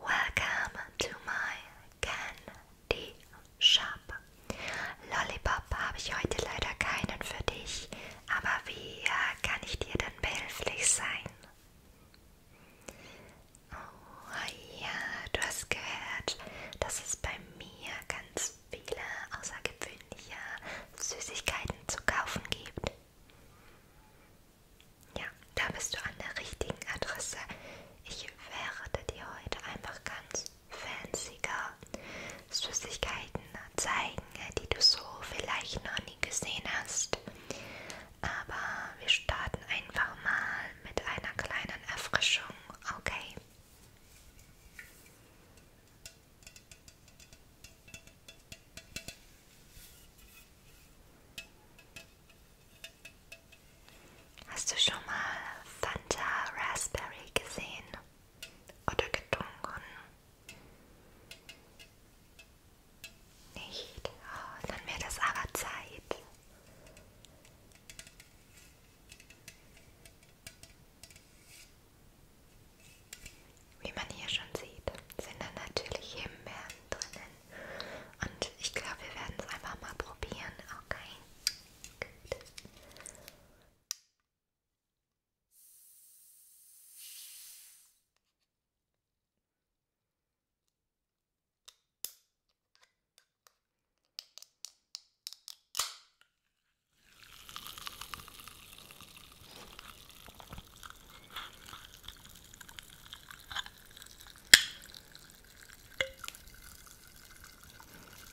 Welcome to my candy shop. Lollipop habe ich heute leider keinen für dich, aber wie äh, kann ich dir denn behilflich sein? Oh ja, du hast gehört, dass es bei mir ganz viele außergewöhnliche Süßigkeiten zu kaufen gibt. Ja, da bist du an der richtigen Adresse. Ich werde dir heute einfach ganz fancyger Süßigkeiten zeigen, die du so vielleicht noch nie gesehen hast. Aber wir starten einfach mal mit einer kleinen Erfrischung, okay? Hast du schon mal Fanta Raspberry gesehen oder getrunken? Nicht? Oh, dann wäre das aber Zeit. Wie man hier schon sieht, sind dann natürlich Himbeeren Sachen drinnen. Und ich glaube, wir werden es einfach mal probieren, okay? Gut.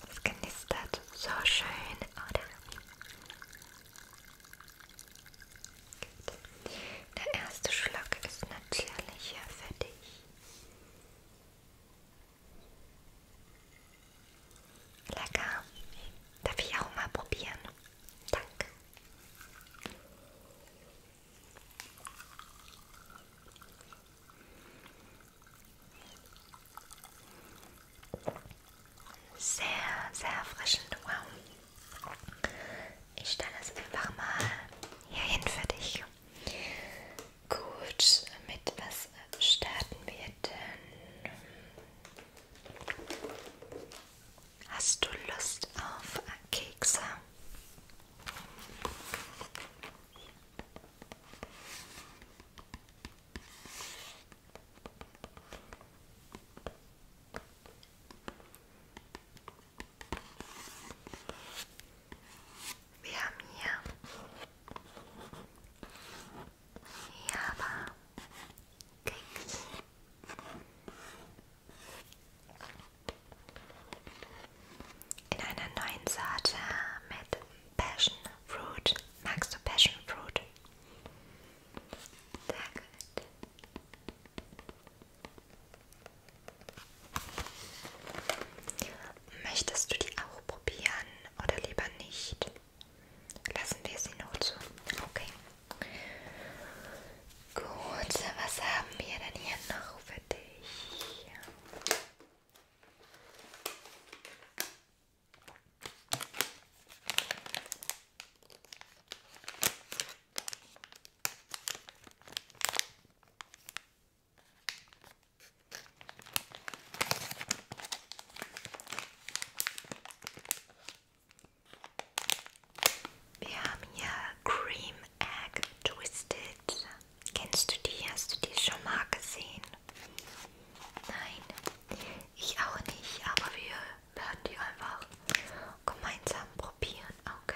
Es knistert so schön, oder? Gut. Der erste Schluck ist natürlich hier für dich. Lecker. Darf ich auch mal probieren? Danke. Sehr, sehr erfrischend. Wow. Ich stelle es einfach mal hier hin für dich. Gut, mit was starten wir denn? Hast du Lust auf Kekse? Wir haben hier Java Keks in einer neuen Sorte mit Passion Fruit. Magst du Passion Fruit? Sehr gut. Möchtest du die auch probieren oder lieber nicht? Lassen wir sie noch zu. Okay. Gut, was haben wir denn hier noch für dich? Wir haben hier Cream Egg Twisted. Kennst du die? Hast du die schon mal gesehen? Nein, ich auch nicht, aber wir werden die einfach gemeinsam probieren, okay?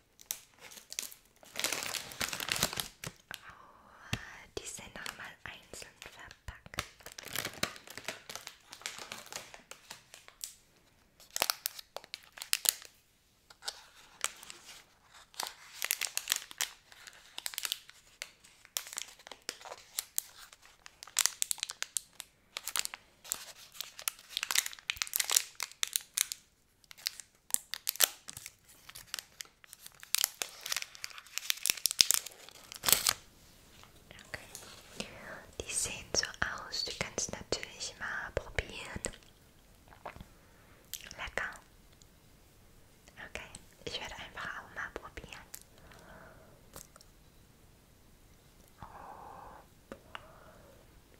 Oh, die sind nochmal einzeln verpackt. Okay. Die sehen so aus. Du kannst natürlich mal probieren. Lecker. Okay, ich werde einfach auch mal probieren. Oh.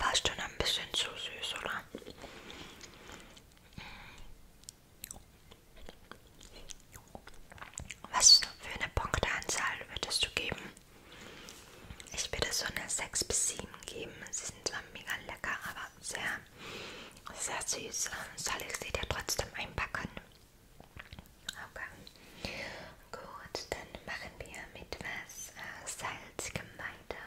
War schon ein bisschen zu süß, oder? Was für eine Punkteanzahl würdest du geben? Ich würde so eine 6 bis 7 geben. Sie sind zwar mega lecker, aber sehr, sehr süß. Soll ich sie dir trotzdem einpacken? Okay. Gut, dann machen wir mit was äh, salzigem weiter.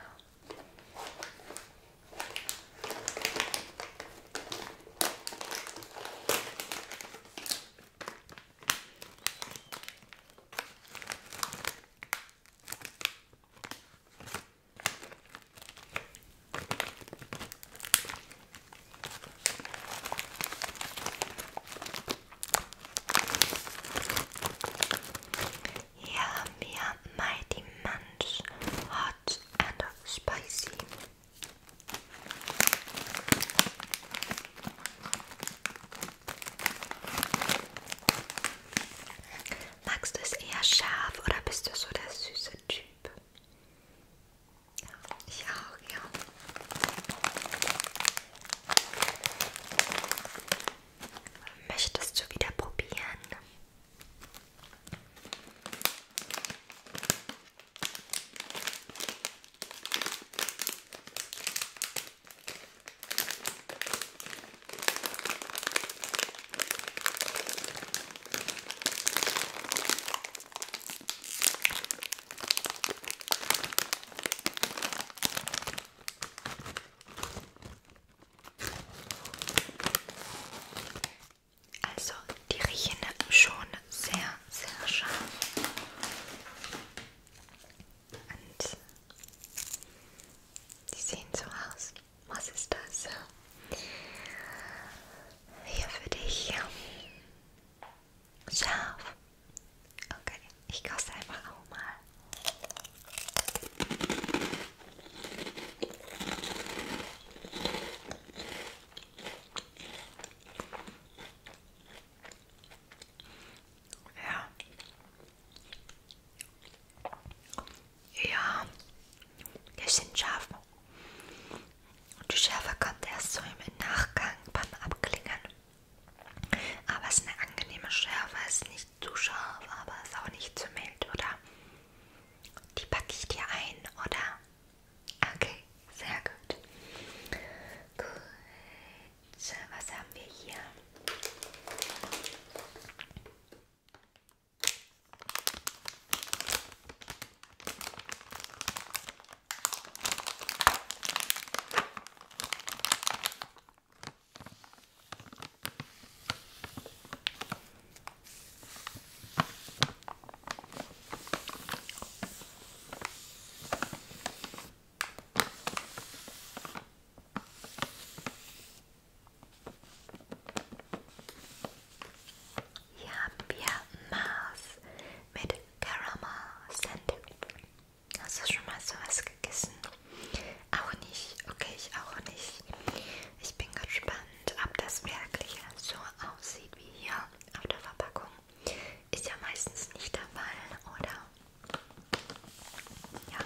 Hier haben wir Mighty Munch Hot and Spicy. Magst du es eher scharf oder bist du so der süße Typ? Ja, ich auch, ja. Möchtest du wieder probieren? Also, die riechen schon sehr, sehr scharf. Und die sehen so aus. Was ist das? Hier für dich. Scharf. Okay, ich koste einfach auch mal. Ja. Ja, die sind scharf. Und die Schärfe kommt erst so im Nachgang beim Abklingen. Aber es ist eine angenehme Schärfe, es ist nicht zu scharf, aber es ist auch nicht zu mild, oder? Die packe ich dir ein, oder? Okay, sehr gut. Gut, was haben wir hier? Hier haben wir Mars mit Caramel Sandwich. Hast du schon mal sowas gegessen? Auch nicht. Okay, ich auch nicht. Ich bin gespannt, ob das wirklich so aussieht wie hier auf der Verpackung. Ist ja meistens nicht der Fall, oder? Ja.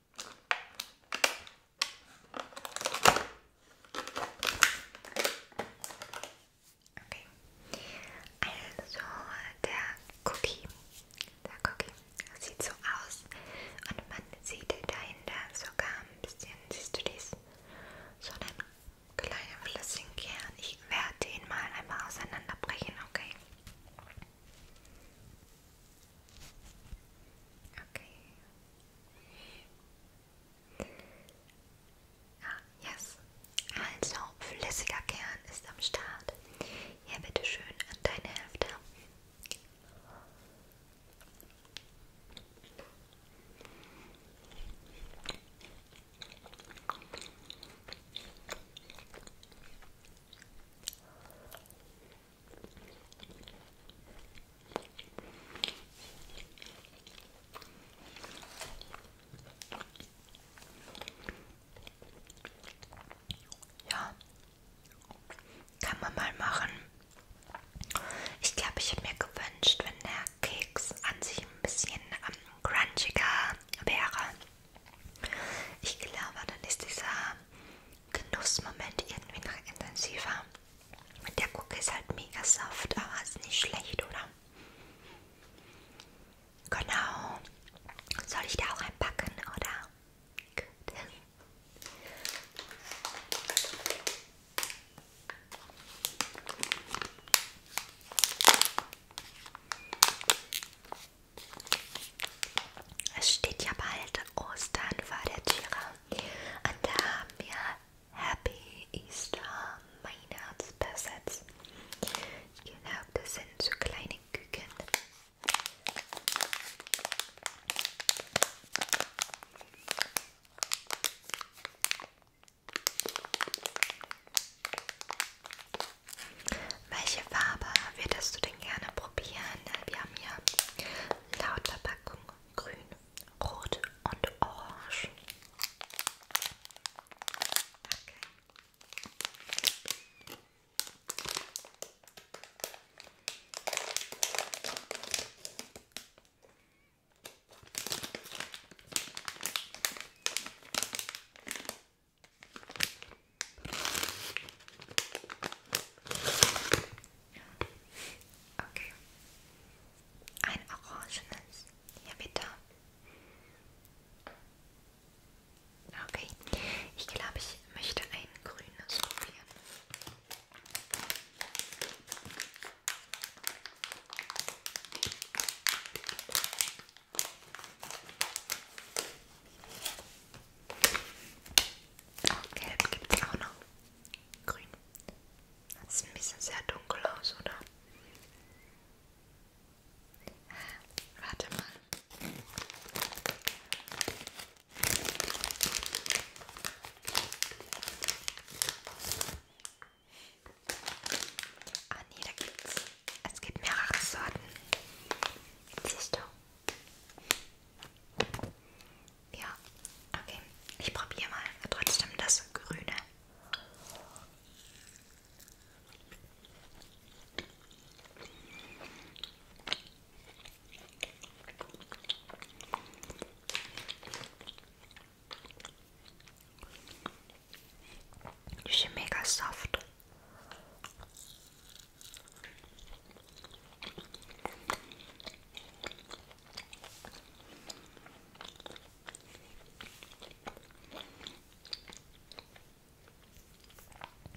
Okay. Also der Cookie. Der Cookie sieht so aus und man sieht dahinter sogar ein bisschen, siehst du dies? So einen kleinen flüssigen Kern. Ich werde ihn mal einmal auseinanderbrechen, okay? Okay. Ah, yes. Also, flüssiger Kern ist am Start. Ja, bitteschön an deine Hälfte. Ja, kann man mal machen. Ich glaube, ich habe mir gewünscht, wenn der Keks an sich ein bisschen ähm, crunchiger wäre. Ich glaube, dann ist dieser Genussmoment irgendwie noch intensiver. Und der Cookie ist halt mega soft, aber ist nicht schlecht, oder? Genau. Soll ich da auch einpacken, oder? Gut. Es steht ja bald Ostern vor der Türe. Und da haben wir Happy Easter Weihnachtspersets. Ich glaube, das sind so kleine Küken. Welche Farbe würdest du denn gerne probieren? Wir haben hier laut Verpackung grün, Rot und Orange. Okay. Okay. Ein orangenes. Hier bitte. Okay. Ich glaube, ich möchte ein grünes probieren. Oh, gelb gibt es auch noch. Grün das ist ein bisschen sehr dunkel aus, oder? Warte mal. Ah nee, da gibt's. Es gibt mehrere Sorten. Siehst du? Ja, okay. Ich probiere mal trotzdem das Grüne. Die sind mega soft.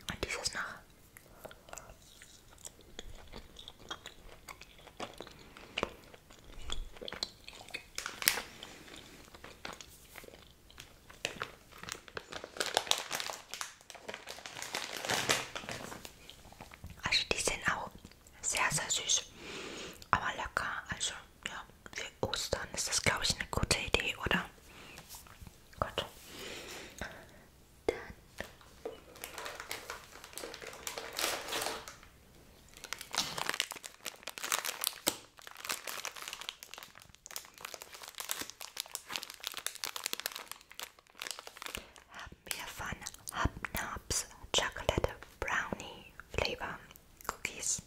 Und dieses noch. Also die sind auch sehr, sehr süß. Aber lecker. Also, ja, für Ostern ist das, glaube ich, eine gute Idee, oder? Gut. Dann. Haben wir Chocolate Brownie Flavor Cookies.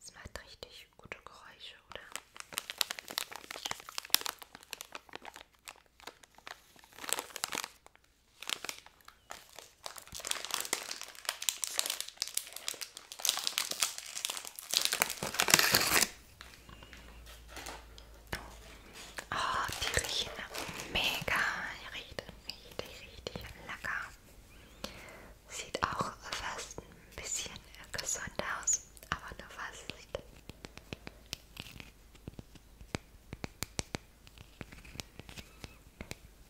Es macht richtig gute Geräusche, oder? Oh, die riechen mega. Die riechen richtig, richtig lecker. Sieht auch fast ein bisschen gesund aus, aber nur fast.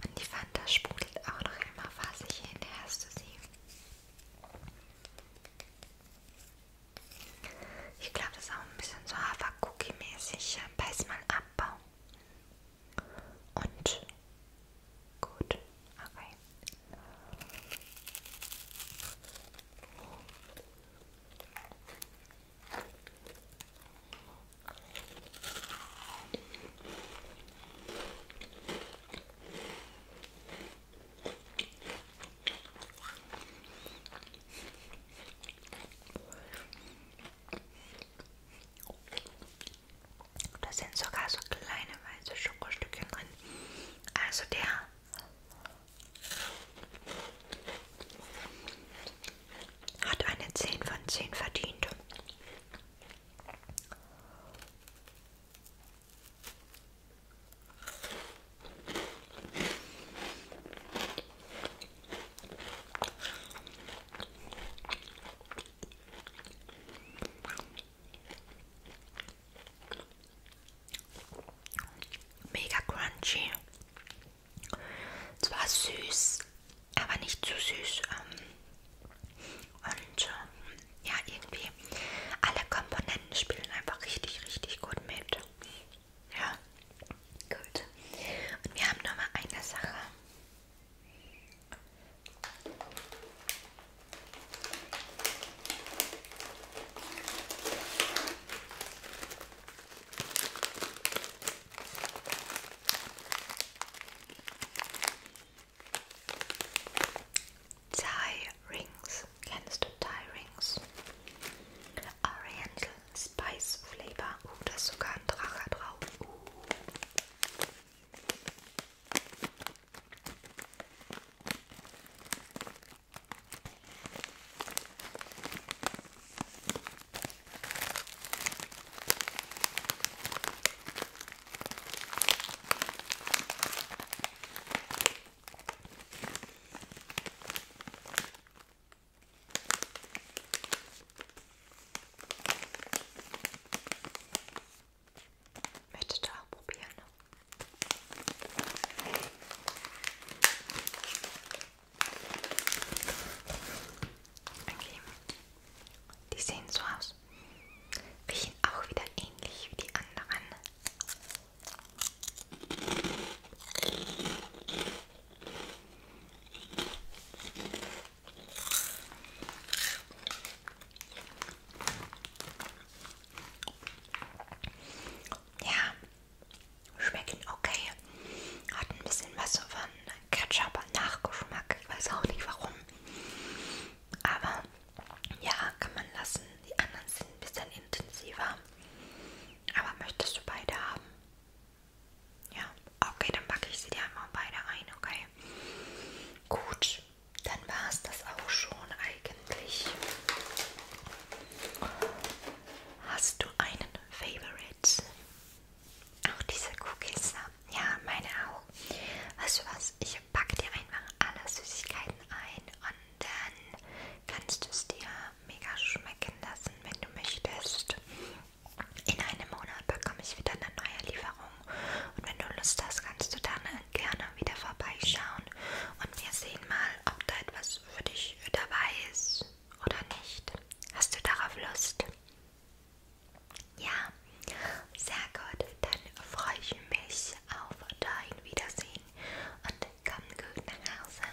Und die Fanta sprudelt auch noch immer fassig hinterher, hast du sie? Ich glaube, das ist auch ein bisschen so Hafer-Cookie-mäßig. Äh, Beiß mal ab, und gut, okay. Da sind sogar so kleine weiße Schokostückchen drin. Also der hat eine 10 von 10 verdient. Mega crunchy. Zwar süß, aber nicht zu süß. Ähm, und ähm, ja, irgendwie alle Komponenten spielen einfach richtig, richtig gut mit. Ja, gut. Und wir haben noch mal eine Sache. Tie Rings. Kennst du Tie Rings? Oriental Spice Flavor. Oh, uh, da ist sogar ein Drache drauf. Uh. Möchtest du auch probieren? Ne? Okay. Die sehen so aus. Riechen auch wieder ähnlich wie die anderen. Ja, schmecken okay. Hat ein bisschen was so von Ketchup-Nachgeschmack. Ich weiß auch nicht warum. Aber ja, kann man lassen. Die anderen sind ein bisschen intensiver. Aber möchtest du beide haben? Ja, okay, dann packe ich sie dir einmal beide ein, okay? Gut, dann war es das auch schon eigentlich. Hast du einen Favorite? Auch diese Cookies, ne? ja, meine auch. Weißt du was? Ich packe dir einfach alle Süßigkeiten ein und dann kannst du es dir mega schmecken lassen, wenn du möchtest. In einem Monat bekomme ich wieder eine neue Lieferung und wenn du Lust hast, kannst du dann gerne wieder vorbeischauen und wir sehen mal, ob da etwas für dich dabei ist oder nicht. Hast du darauf Lust? Ja, sehr gut. Dann freue ich mich auf dein Wiedersehen und komm gut nach Hause.